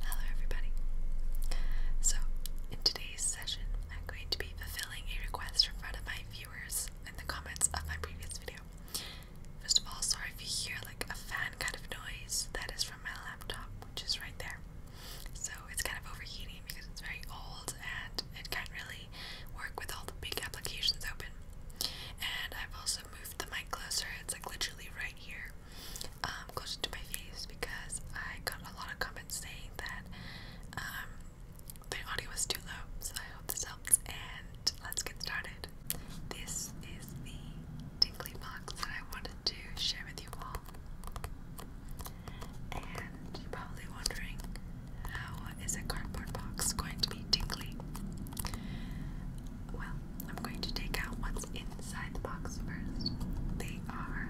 Hello, everybody. So, in today's session, I'm going to be fulfilling a request from one of my viewers in the comments of my previous video. First of all, sorry if you hear like a fan kind of noise, that is from my laptop, which is right there. So, it's kind of overheating because it's very old and it can't really work with all the big applications open. And I've also moved the mic closer, it's like literally right here um, goes into my face because I got a lot of comments saying that um, the audio was too low. So I hope this helps, and let's get started. This is the tingly box that I wanted to share with you all. And you're probably wondering how is a cardboard box going to be tingly? Well, I'm going to take out what's inside the box first. They are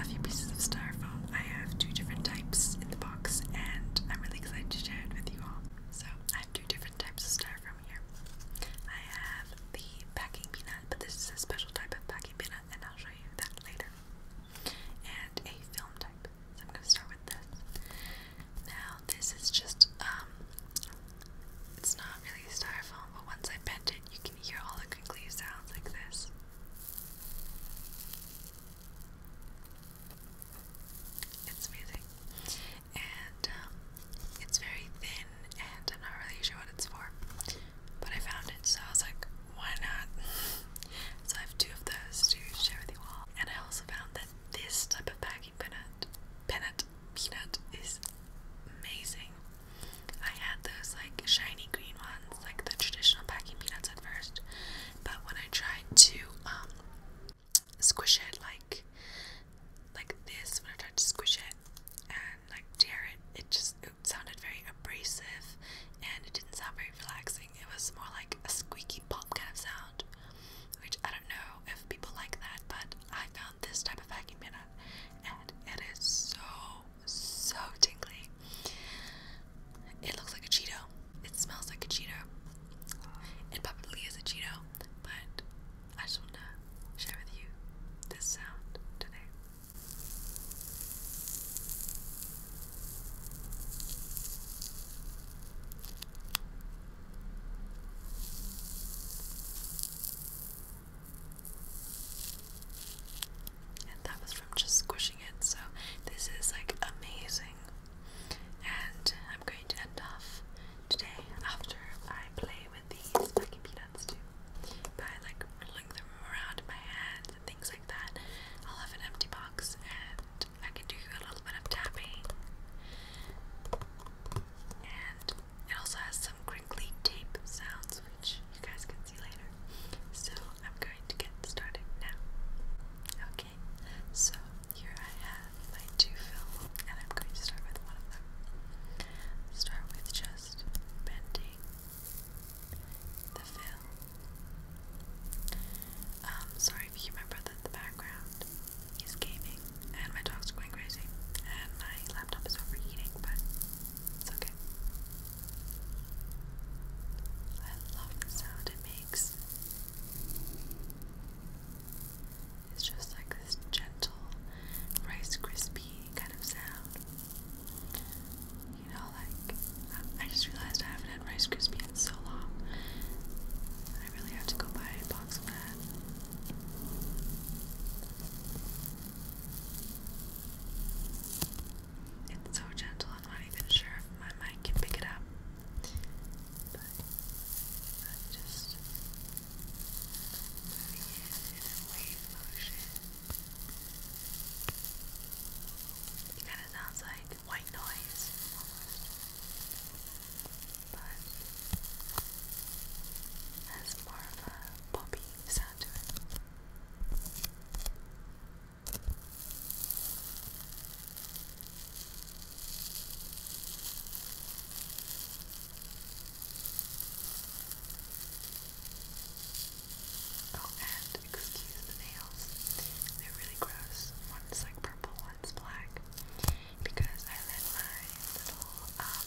a few pieces of styrofoam. I have two different types in the box, and I'm really excited to share it with you all. So, I have two different types of styrofoam here. I have the packing peanut, but this is a special type of packing peanut, and I'll show you that later. And a film type. So I'm going to start with that. Now, this is just um, it's not really styrofoam, but once I bent it, you can hear all the crinkly sounds like this. It's amazing. And um, it's very thin, and I'm not really sure what it's for. But I found it, so I was like, why not? so I have two of those to share with you all. And I also found that this type of packaging Peanut Peanut Peanut is amazing. I had those like shiny green ones, like the traditional packing peanuts at first, but when I tried to um, squish it like like this, when I tried to squish it and like tear it, it just sounded very abrasive and it didn't sound very relaxing. It was more like a squeaky pop kind of sound. Which I don't know if people like that, but I found this type of vacuum in and it is so, so tingly. It looks like a Cheeto. It smells like a Cheeto. It probably is a Cheeto, but I just want to share with you this sound today. And that was from just squishing it, so this is like amazing. And I'm going to end off today after I play with these Becky Peanuts too. By like riddling them around my hands and things like that. I'll have an empty box and I can do a little bit of tapping. And it also has some crinkly tape sounds, which you guys can see later. So I'm going to get started now. Okay, so here I have my two films, and I'm going to start with one of them. Start with just bending the film. Um, sorry if you hear my in the background he's gaming, and my dog's going crazy, and my laptop is overheating, but it's okay. I love the sound it makes. It's just like this gentle Rice Krispie kind of sound. You know, like, I just realized I haven't had Rice Krispie in so long. I really have to go buy a box of that. It's so gentle, I'm not even sure if my mic can pick it up. But i just moving in a wave motion. It kind of sounds like white noise but has more of a poppy sound to it. Oh, and excuse the nails. They're really gross. One's like purple, one's black. Because I let my little um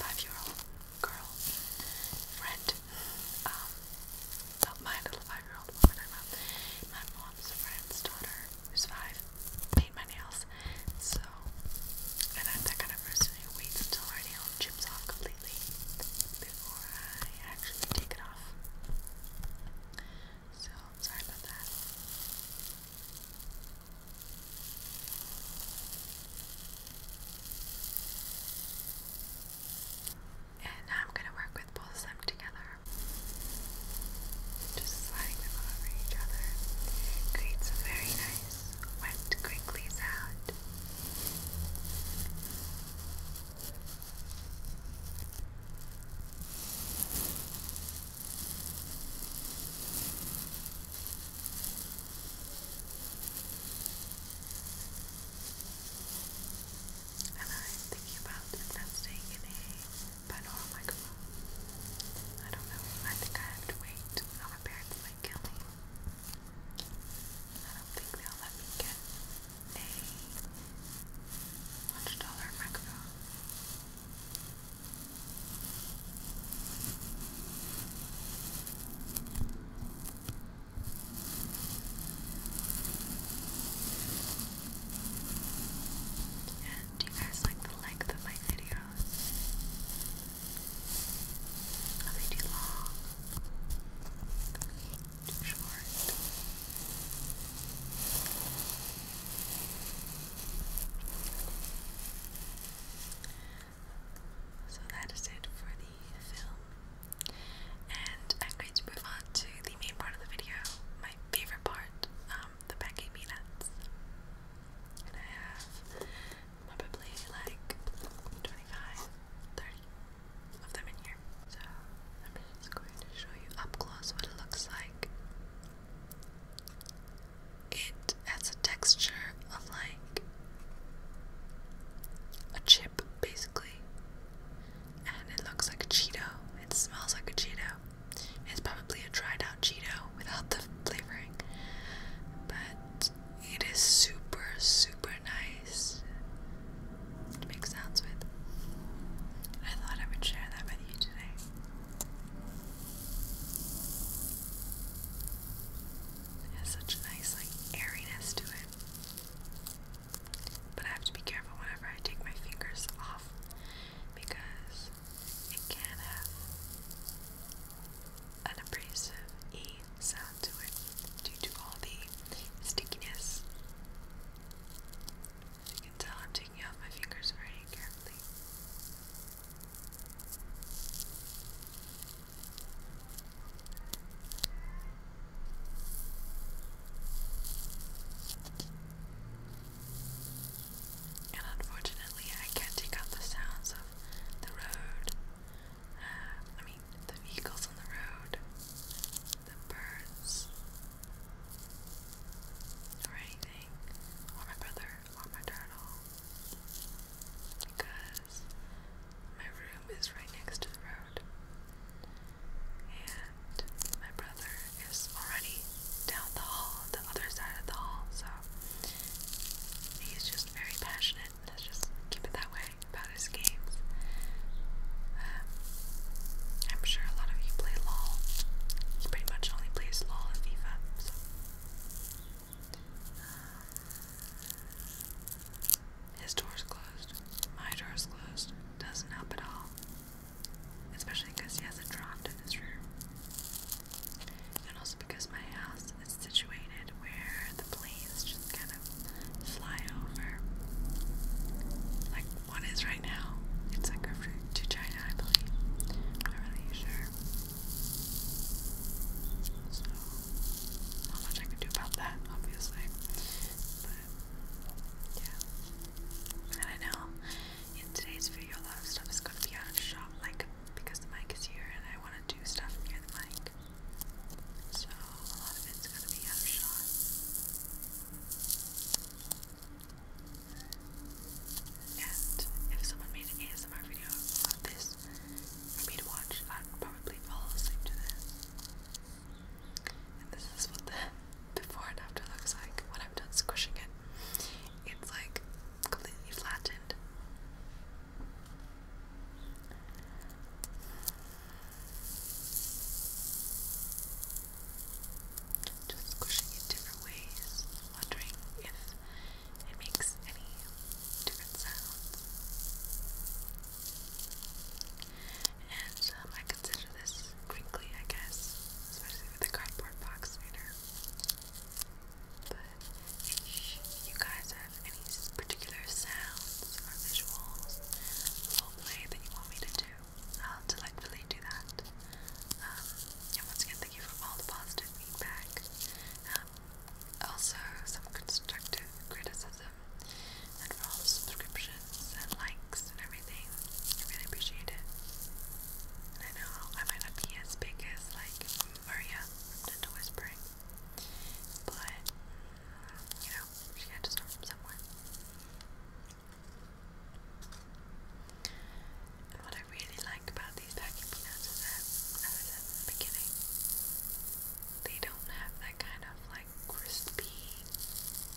five-year-old girl friend. Um, my little five-year-old woman. I'm a, my mom's friend's daughter who's five. Paint my nails. So, and I'm that kind of person who waits until my nail chips off completely before I actually take it off. So, sorry about that. And now I'm going to work with both of them together. Just sliding them over each other. creates a very nice wet crinkly sound. And I'm thinking about investing in a binaural microphone. I don't know. I think I have to wait. my parents might kill me. I don't think they'll let me get a $100 and do you guys like the length of my videos? Are they too long? Too short? So that is it for the film. And I'm going to move on to the main part of the video, my favorite part, um, the packing peanuts. And I have probably like 25, 30 of them in here. So I'm just going to show you up close what it looks like it has a texture of like a chip basically. And it looks like a Cheeto. It smells like a Cheeto. It's probably a dried out Cheeto without the flavoring. But it is super, super nice to make sounds with. I thought I would share that with you today has such nice like airiness to it. But I have to be careful whenever I take my fingers off because it can have an abrasive E sound to it due to all the stickiness. As you can tell, I'm taking off my fingers very carefully. And unfortunately, I can't take out the sounds of the road. Uh, I mean, the vehicles on the road, the birds, or anything, or my brother, or my turtle because my room is right next to the road, and my brother is already down the hall, the other side of the hall, so he's just very passionate. Let's just keep it that way about his games. Um, I'm sure a lot of you play LOL. He pretty much only plays LOL and FIFA, um, his door's closed. My door's closed. Doesn't help at all. Especially because he has a draft in his room. And also because my house is situated where the planes just kind of fly over. Like one is right now. It's like a over to China, I believe. I'm really sure. So, not much I can do about that, obviously. But, yeah. And I know in today's video, a lot of stuff is going to be out of shot, like because the mic is here and I want to do stuff near the mic. So, a lot of it's going to be out of shot. And if someone made an this for me to watch, I'd probably fall asleep to this. And this is what the before and after looks like when I'm done squishing it. It's like completely flattened. Just squishing it different ways, wondering if it makes any different sounds. And um, I consider this crinkly, I guess, especially with the cardboard box reader. But if you guys have any particular sounds or visuals, role that you want me to do, I'll delightfully do that. Um, and once again, Thank you for all the positive feedback. Um, also, some constructive criticism and for all the subscriptions and likes and everything. I really appreciate it. I know I might not be as big as like Maria from Whispering, but you know, she had to start somewhere what I really like about these packing peanuts is that, as I said in the beginning, they don't have that kind of like crispy,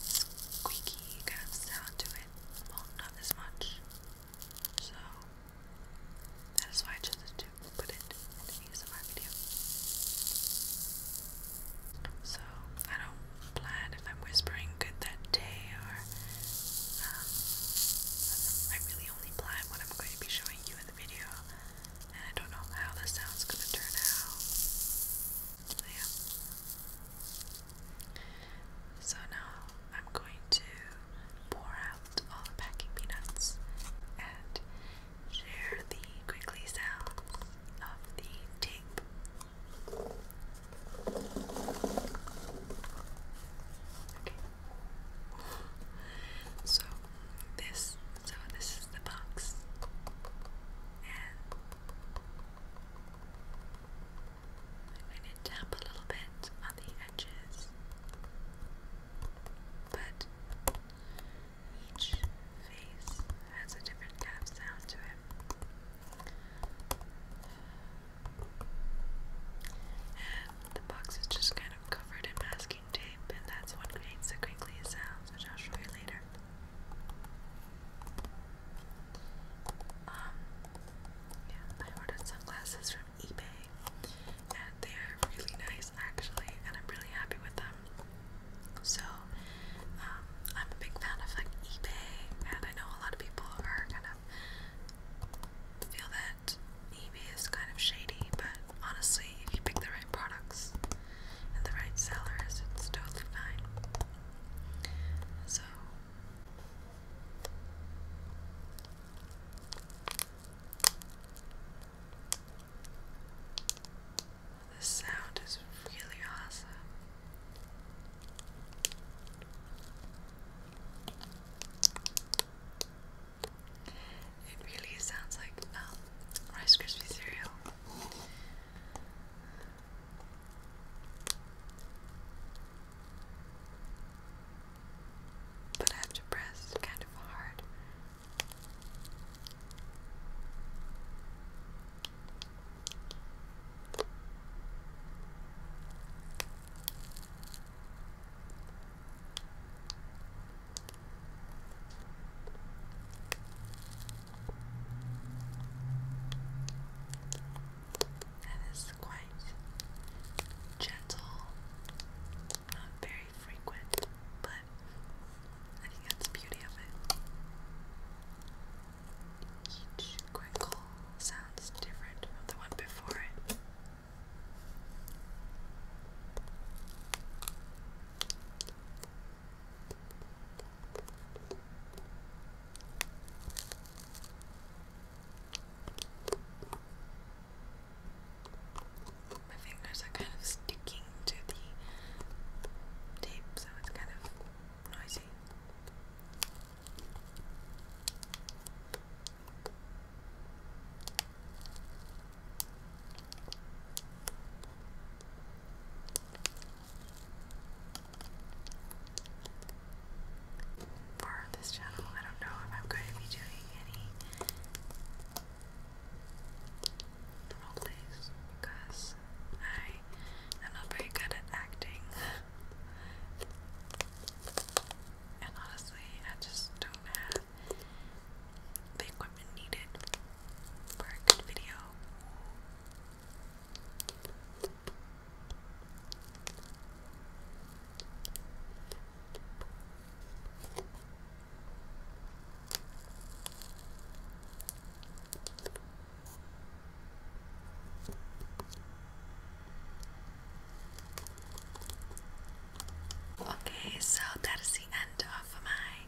squeaky kind of sound to it. Well, not as much. So, that is why I chose to put it in the video. So, I don't plan if I'm whispering good that day or um, I really only blind one I'm going to be showing you in the video, and I don't know how the sound's going to turn out. So, now I'm going to pour out all the packing peanuts and share the crinkly sound of the tape. So this, so this is the box, and I'm going to tap a little bit on the edges, but each face has a different tap sound to it the box is just kind of covered in masking tape, and that's what creates the crinkly sounds, which I'll show you later. Um, yeah, I ordered sunglasses from eBay, and they are really nice actually, and I'm really happy with them. So, um, I'm a big fan of like eBay, and I know a lot of people are kind of feel that that eBay is kind of shady, but honestly, if you pick the right products and the right sellers, it's totally fine. So. The sound is really awesome. It really sounds like um, Rice Krispie cereal. But I have to press kind of hard. That is quite gentle, not very frequent, but I think that's the beauty of it. Each crinkle sounds different from the one before it. My fingers are kind of sticking to the tape, so it's kind of noisy. For this channel, I don't know if I'm going to be doing any role because I am not very good at acting. and honestly, I just don't have the equipment needed for a good video. Okay, so that is the end of my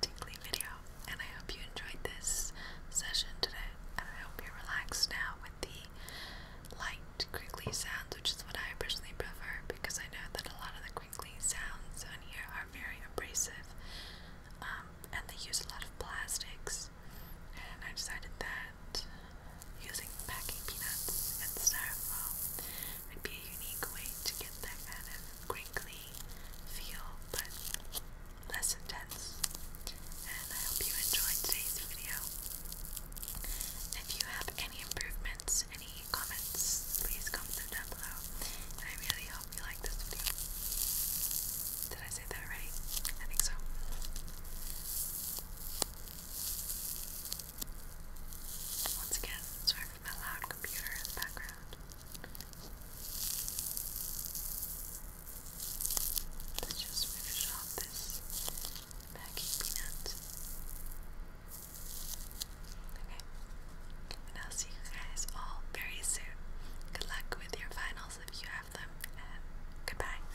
tinkly video, and I hope you enjoyed this session today. And I hope you're relaxed now with the light crinkly sounds, which is what I personally prefer because I know that a lot of the crinkly sounds on here are very abrasive, um, and they use a lot of plastics. And I decided that Using packing peanuts and styrofoam would be a unique way to get that kind of crinkly feel, but less intense. And I hope you enjoyed today's video. If you have any improvements, any comments, please comment down below. And I really hope you like this video. Did I say that already? I think so. Once again, sorry for my loud computer in the background. Let's just finish off this packing peanut. Okay. And I'll see you guys all very soon. Good luck with your finals if you have them, and goodbye.